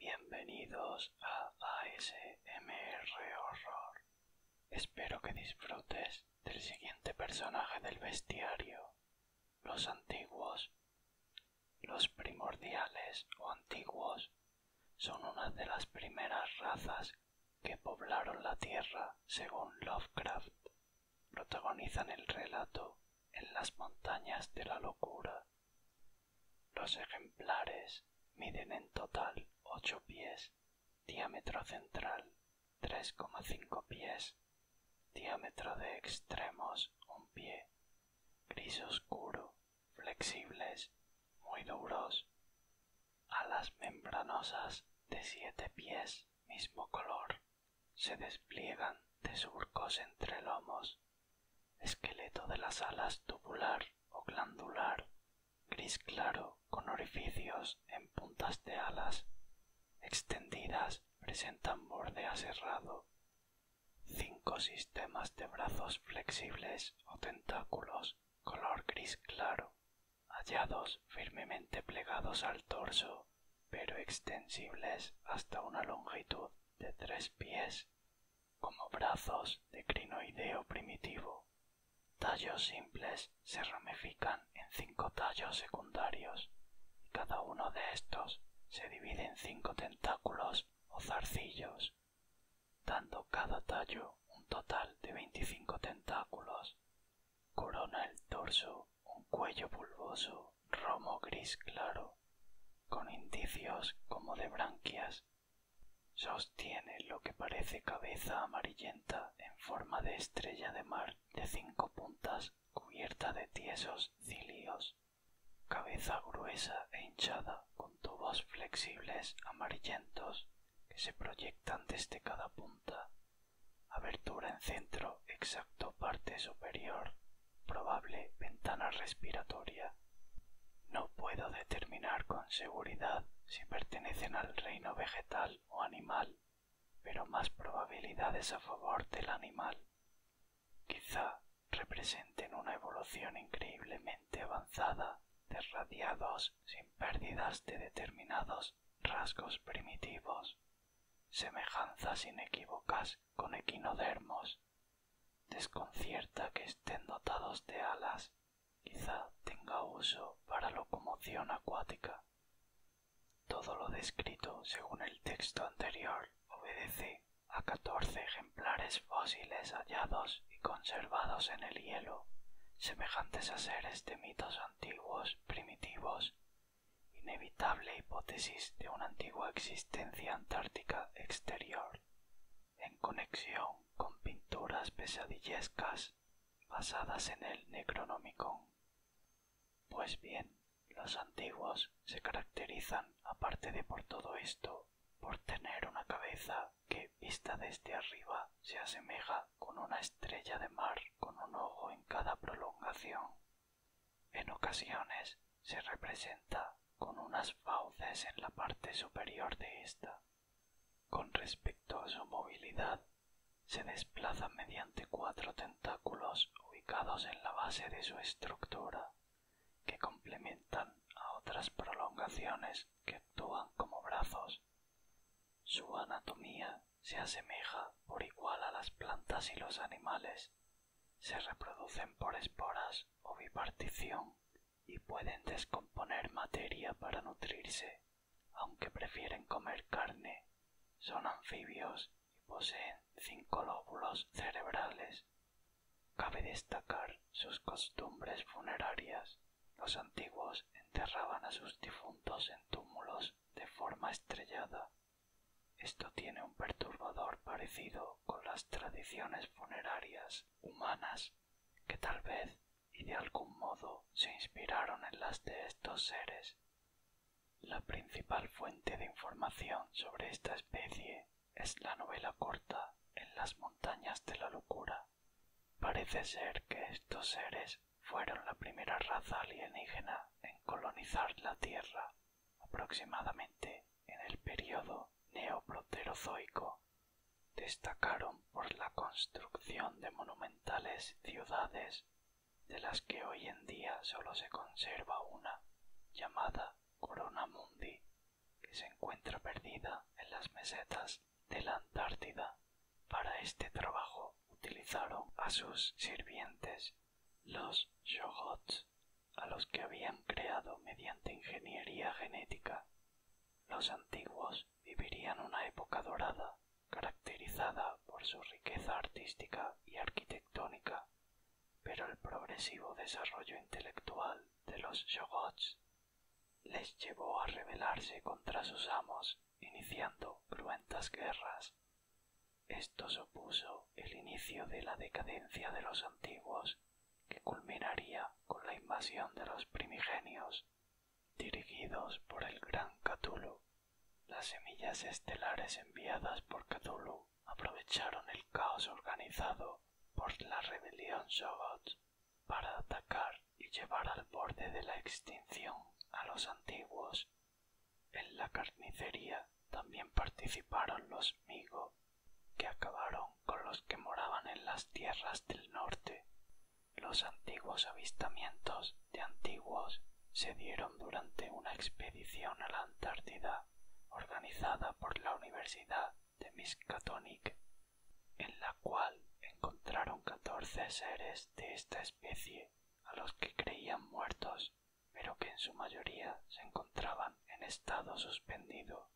Bienvenidos a ASMR Horror. Espero que disfrutes del siguiente personaje del bestiario. Los antiguos. Los primordiales o antiguos son una de las primeras razas que poblaron la Tierra según Lovecraft protagonizan el relato en las montañas de la locura. Los ejemplares miden en total ocho pies, diámetro central tres cinco pies, diámetro de extremos un pie, gris oscuro, flexibles, muy duros, alas membranosas de siete pies mismo color se despliegan de surcos entre lomos esqueleto de las alas tubular o glandular gris claro con orificios en puntas de alas extendidas presentan borde aserrado cinco sistemas de brazos flexibles o tentáculos color gris claro, hallados firmemente plegados al torso, pero extensibles hasta una longitud de tres pies, como brazos de crinoideo primitivo. Tallos simples se ramifican en cinco tallos secundarios, y cada uno de estos se divide en cinco tentáculos o zarcillos dando cada tallo un total de veinticinco tentáculos. Corona el torso un cuello bulboso, romo gris claro, con indicios como de branquias. Sostiene lo que parece cabeza amarillenta en forma de estrella de mar de cinco puntas cubierta de tiesos cilios cabeza gruesa e hinchada con tubos flexibles amarillentos que se proyectan desde cada punta, abertura en centro exacto parte superior, probable ventana respiratoria. No puedo determinar con seguridad si pertenecen al reino vegetal o animal, pero más probabilidades a favor del animal. Quizá representen una evolución increíblemente avanzada de radiados sin pérdidas de determinados rasgos primitivos, semejanzas inequívocas con equinodermos. Desconcierta que estén dotados de alas, quizá tenga uso para locomoción acuática. Todo lo descrito según el texto anterior obedece a catorce ejemplares fósiles hallados y conservados en el hielo, semejantes a seres de mitos antiguos primitivos, inevitable hipótesis de una antigua existencia antártica exterior, en conexión con pinturas pesadillescas basadas en el Necronomicon. Pues bien, los antiguos se caracterizan, aparte de por todo esto, por tener una cabeza que, vista desde arriba, se asemeja con una estrella de mar con un ojo en cada prolongación. En ocasiones se representa con unas fauces en la parte superior de ésta. Con respecto a su movilidad, se desplaza mediante cuatro tentáculos ubicados en la base de su estructura, que complementan a otras prolongaciones que actúan como brazos. Su anatomía se asemeja por igual a las plantas y los animales. Se reproducen por esporas o bipartición y pueden descomponer materia para nutrirse, aunque prefieren comer carne. Son anfibios poseen cinco lóbulos cerebrales. Cabe destacar sus costumbres funerarias. Los antiguos enterraban a sus difuntos en túmulos de forma estrellada. Esto tiene un perturbador parecido con las tradiciones funerarias humanas que tal vez y de algún modo se inspiraron en las de estos seres. La principal fuente de información sobre esta especie es la novela corta En las montañas de la locura. Parece ser que estos seres fueron la primera raza alienígena en colonizar la Tierra, aproximadamente en el período neoproterozoico. Destacaron por la construcción de monumentales ciudades de las que hoy en día solo se conserva una, llamada Corona Mundi, que se encuentra perdida en las mesetas de la Antártida. Para este trabajo utilizaron a sus sirvientes, los Shogots, a los que habían creado mediante ingeniería genética. Los antiguos vivirían una época dorada, caracterizada por su riqueza artística y arquitectónica, pero el progresivo desarrollo intelectual de los Shogots les llevó a rebelarse contra sus amos, iniciando cruentas guerras. Esto supuso el inicio de la decadencia de los antiguos, que culminaría con la invasión de los primigenios dirigidos por el gran Cthulhu. Las semillas estelares enviadas por Cthulhu aprovecharon el caos organizado por la rebelión sogot para atacar y llevar al borde de la extinción a los antiguos. En la carnicería también participaron los Migo, que acabaron con los que moraban en las tierras del norte. Los antiguos avistamientos de antiguos se dieron durante una expedición a la Antártida organizada por la Universidad de Miskatonic, en la cual encontraron catorce seres de esta especie a los que creían muertos, pero que en su mayoría se encontraban en estado suspendido.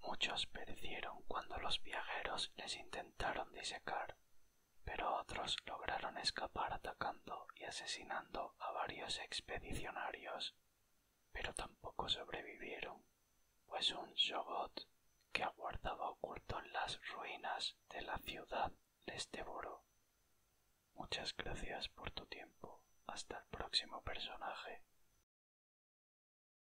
Muchos perecieron cuando los viajeros les intentaron disecar, pero otros lograron escapar atacando y asesinando a varios expedicionarios, pero tampoco sobrevivieron, pues un Shogot que aguardaba oculto en las ruinas de la ciudad les devoró. Muchas gracias por tu tiempo. Hasta el próximo personaje.